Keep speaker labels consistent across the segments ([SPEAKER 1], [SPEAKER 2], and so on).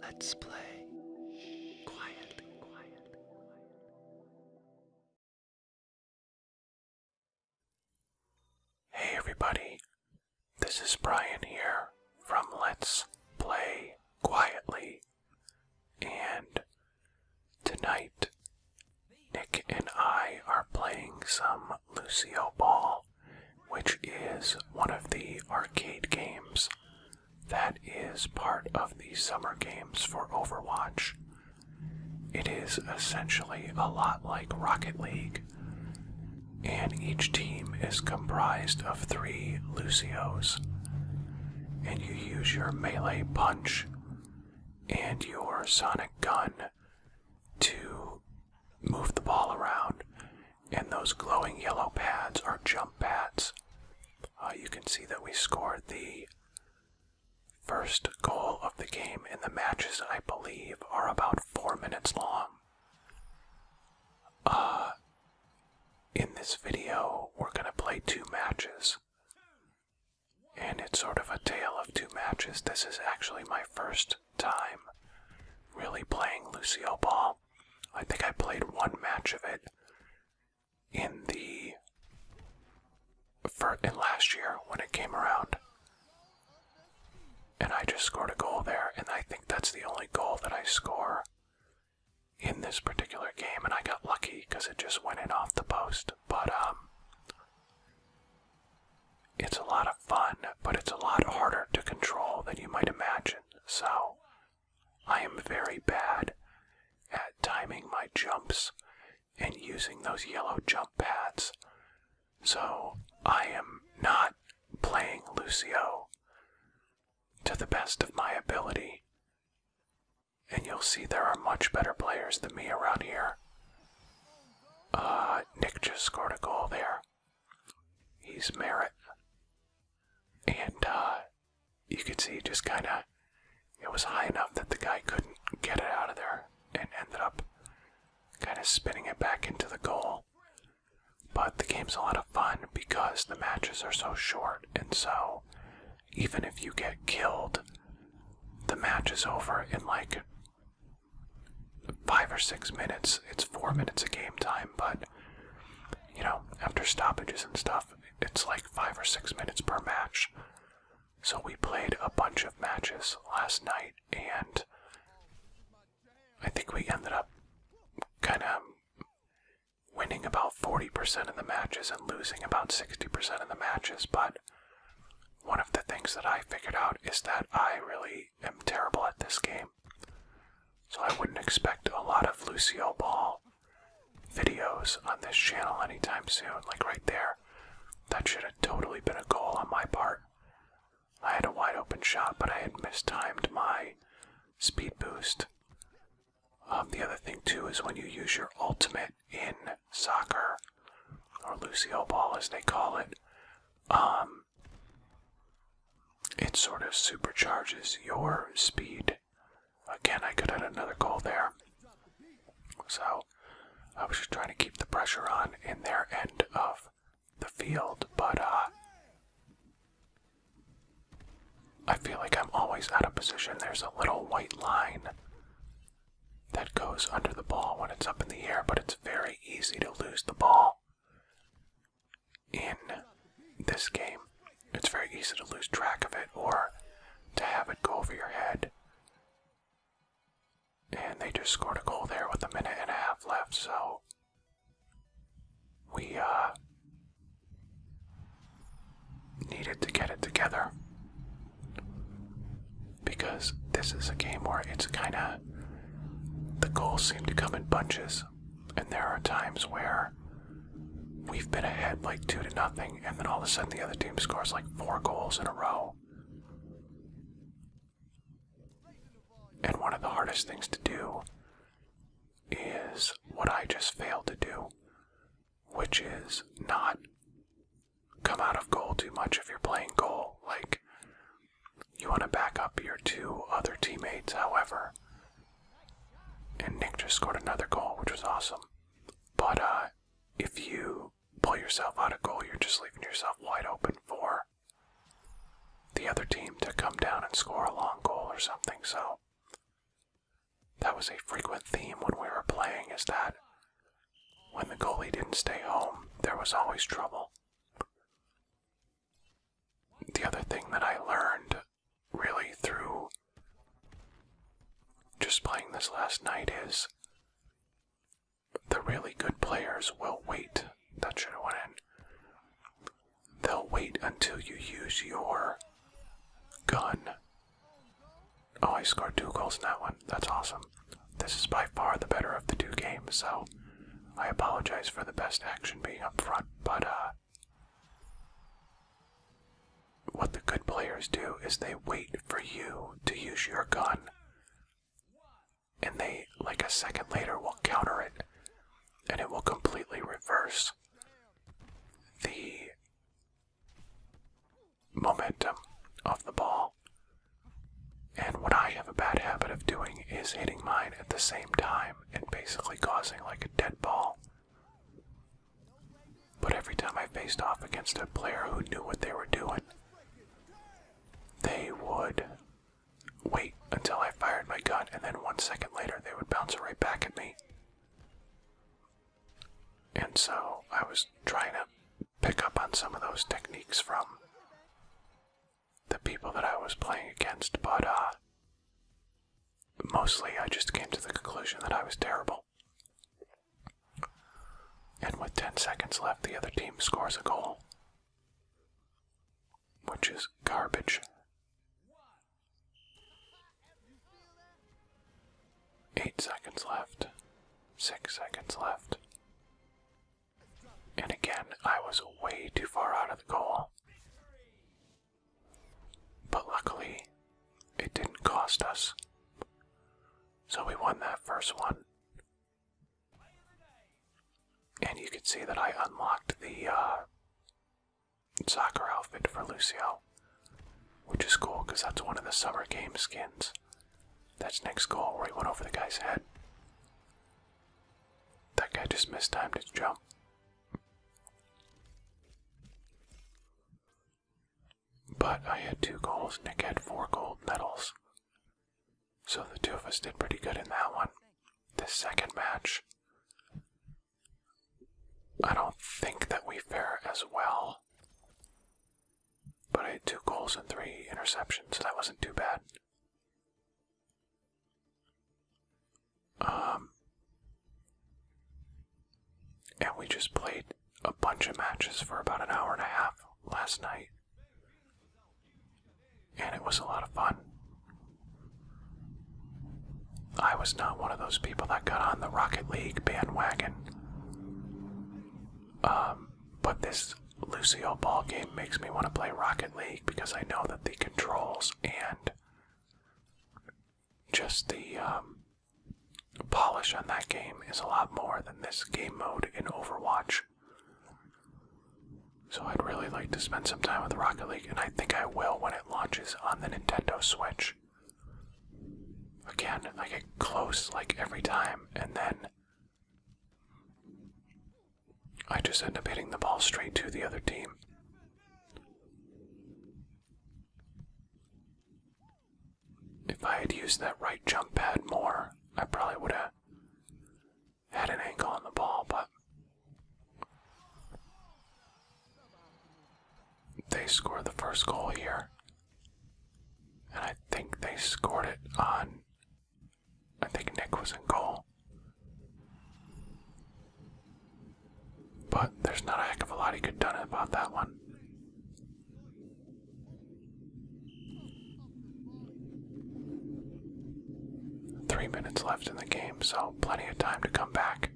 [SPEAKER 1] Let's play quietly, Hey everybody, this is Brian here from Let's Play Quietly. And tonight, Nick and I are playing some Lucio Ball which is one of the arcade games that is part of the summer games for Overwatch. It is essentially a lot like Rocket League, and each team is comprised of three Lucios. And you use your melee punch and your sonic gun to move the ball around and those glowing yellow pads are jump pads. Uh, you can see that we scored the first goal of the game, and the matches, I believe, are about four minutes long. Uh, in this video, we're going to play two matches. And it's sort of a tale of two matches. This is actually my first time really playing Lucio Ball. I think I played one match of it in the for in last year when it came around. And I just scored a goal there, and I think that's the only goal that I score in this particular game. And I got lucky because it just went in off the post. But um, it's a lot of fun, but it's a lot harder to control than you might imagine, so I am very bad at timing my jumps and using those yellow jump pads. So I am not playing Lucio to the best of my ability. And you'll see there are much better players than me around here. Uh, Nick just scored a goal there. He's Merritt. And uh, you could see just kind of, it was high enough that the guy couldn't get it out of there and ended up kind of spinning it back into the goal. But the game's a lot of fun because the matches are so short, and so even if you get killed, the match is over in like five or six minutes. It's four minutes of game time, but you know, after stoppages and stuff, it's like five or six minutes per match. So we played a bunch of matches last night, and I think we ended up kind of winning about 40% of the matches and losing about 60% of the matches, but one of the things that I figured out is that I really am terrible at this game. So I wouldn't expect a lot of Lucio Ball videos on this channel anytime soon. Like right there, that should have totally been a goal on my part. I had a wide open shot, but I had mistimed my speed boost. Um, the other thing, too, is when you use your ultimate in soccer, or Lucio Ball as they call it, um, it sort of supercharges your speed. Again, I could add another goal there. So I was just trying to keep the pressure on in their end of the field, but uh, I feel like I'm always out of position. There's a little white line that goes under the ball when it's up in the air, but it's very easy to lose the ball in this game. It's very easy to lose track of it or to have it go over your head. And they just scored a goal there with a minute and a half left, so we uh, needed to get it together. Because this is a game where it's kind of. The goals seem to come in bunches, and there are times where we've been ahead like two to nothing, and then all of a sudden the other team scores like four goals in a row. And one of the hardest things to do is what I just failed to do, which is not come out of goal too much if you're playing goal. Like, you want to back up your two other teammates, however. And Nick just scored another goal, which was awesome. But uh, if you pull yourself out of goal, you're just leaving yourself wide open for the other team to come down and score a long goal or something. So, that was a frequent theme when we were playing, is that when the goalie didn't stay home, there was always trouble. The other thing that I learned really through just playing this last night is the really good players will wait. That should have went in. They'll wait until you use your gun Oh, I scored two goals in that one. That's awesome. This is by far the better of the two games, so I apologize for the best action being up front, but uh, what the good players do is they wait for you to use your gun, and they, like a second later, will counter it, and it will completely reverse the momentum of the ball. And what I have a bad habit of doing is hitting mine at the same time and basically causing like a dead ball. But every time I faced off against a player who knew what they were doing, they would wait until I fired my gun, and then one second later they would bounce it right back at me. And so I was trying to pick up on some of those techniques from the people that I was playing against, but uh, mostly I just came to the conclusion that I was terrible. And with 10 seconds left, the other team scores a goal, which is garbage. Eight seconds left. Six seconds left. And again, I was way too far out of the goal. But luckily, it didn't cost us. So we won that first one. And you can see that I unlocked the uh, soccer outfit for Lucio, which is cool because that's one of the summer game skins. That's next goal where he went over the guy's head. That guy just missed time to jump. But I had two goals, Nick had four gold medals. So the two of us did pretty good in that one. The second match, I don't think that we fare as well. But I had two goals and three interceptions, so that wasn't too bad. Um, and we just played a bunch of matches for about an hour and a half last night. And it was a lot of fun. I was not one of those people that got on the Rocket League bandwagon. Um, but this Lucio ball game makes me want to play Rocket League because I know that the controls and just the um, polish on that game is a lot more than this game mode in Overwatch. So I'd really like to spend some time with Rocket League and I think I will when it launches on the Nintendo Switch. Again, I get close like every time, and then I just end up hitting the ball straight to the other team. If I had used that right jump pad more, I probably would have had an angle on the ball, but they scored the first goal here. And I think they scored it on. I think Nick was in goal. But there's not a heck of a lot he could have done about that one. Three minutes left in the game so plenty of time to come back.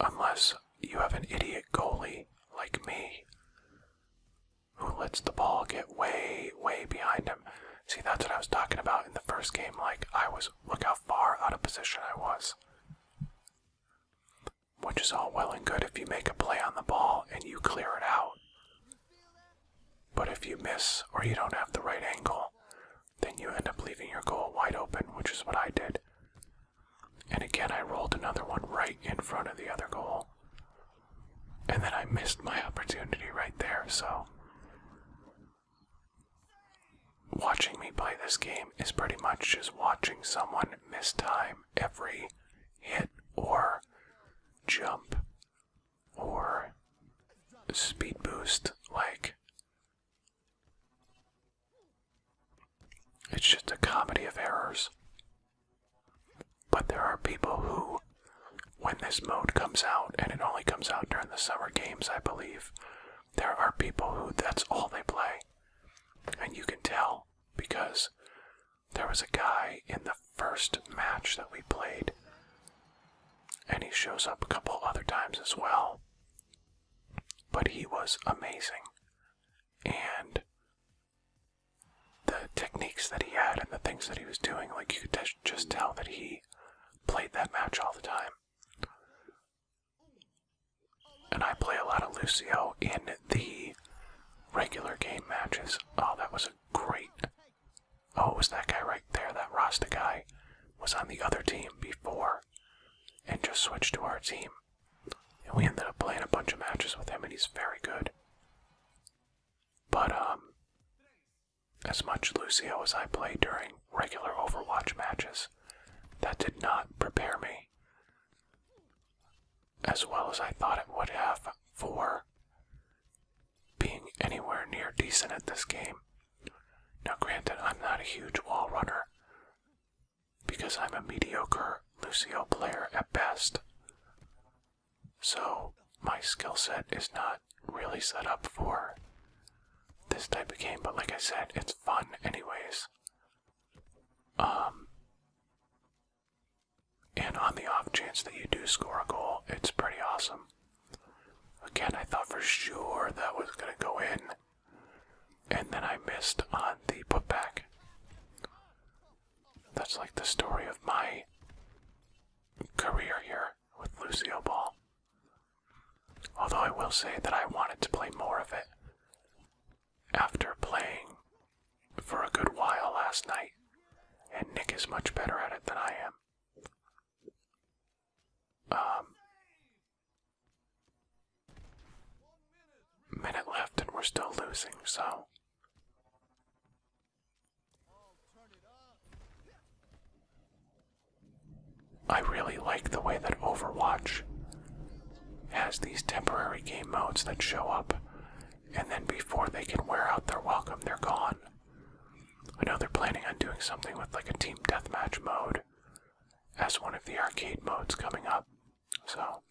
[SPEAKER 1] Unless you have an idiot goalie like me who lets the ball get way, way behind him. See, that's what I was talking about in the first game. Like, I was, look how far out of position I was. Which is all well and good if you make a play on the ball and you clear it out. But if you miss or you don't have the right angle, then you end up leaving your goal wide open, which is what I did. And again, I rolled another one right in front of the other goal. And then I missed my opportunity right there, so watching me play this game is pretty much just watching someone miss time every hit or jump or speed boost. Like, it's just a comedy of errors. But there are people who, when this mode comes out, and it only comes out during the summer games, I believe, there are people who that's all they play. And you can tell because there was a guy in the first match that we played, and he shows up a couple other times as well. But he was amazing. And the techniques that he had and the things that he was doing, like you could just tell that he played that match all the time. And I play a lot of Lucio in the regular game matches. Oh, that was a great. Oh, it was that guy right there. That Rasta guy was on the other team before and just switched to our team. And we ended up playing a bunch of matches with him, and he's very good. But, um, as much Lucio as I play during regular Overwatch matches, that did not prepare me as well as I thought it would have for being anywhere near decent at this game. Now, granted, I'm not a huge wall runner because I'm a mediocre Lucio player at best, so my skill set is not really set up for this type of game, but like I said, it's fun anyways. Um, and on the off chance that you do score a goal, it's pretty awesome. Again, I thought for sure that was going to go in, and then I missed on the putback. That's like the story of my career here with Lucio Ball. Although I will say that I wanted to play more of it after playing for a good while last night, and Nick is much better at it than I am. Um, minute left, and we're still losing, so I really like the way that Overwatch has these temporary game modes that show up, and then before they can wear out their welcome, they're gone. I know they're planning on doing something with like a team deathmatch mode as one of the arcade modes coming up. So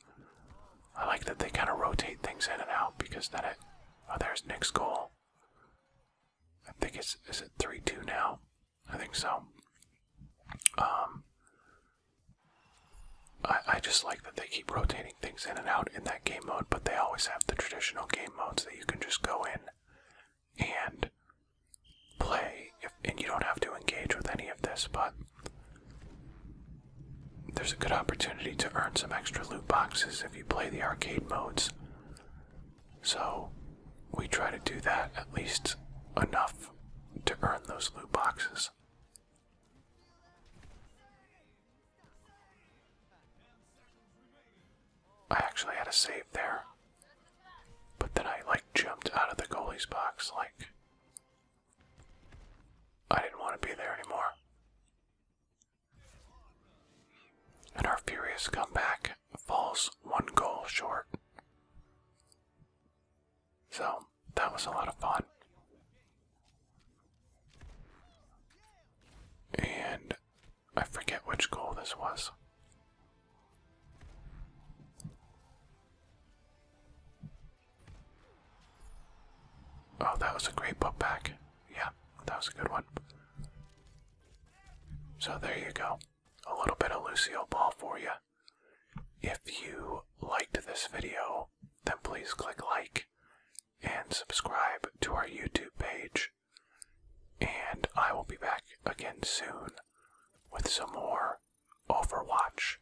[SPEAKER 1] I like that they kind of rotate things in and out because then it. Oh, there's Nick's goal. I think it's is it three two now? I think so. Um I I just like that they keep rotating things in and out in that game mode, but they always have the traditional game modes that you can just go in and play if and you don't have to engage with any of this, but there's a good opportunity to earn some extra loot boxes if you play the arcade modes. So we try to do that at least enough to earn those loot boxes. I actually had a save there. But then I like jumped out of the goalie's box like I didn't want to be there anymore and our furious comeback falls one goal short. So, that was a lot of fun. And I forget which goal this was. Oh, that was a great book back. Yeah, that was a good one. So there you go. A little bit of Lucio ball for you. If you liked this video, then please click like and subscribe to our YouTube page. And I will be back again soon with some more Overwatch.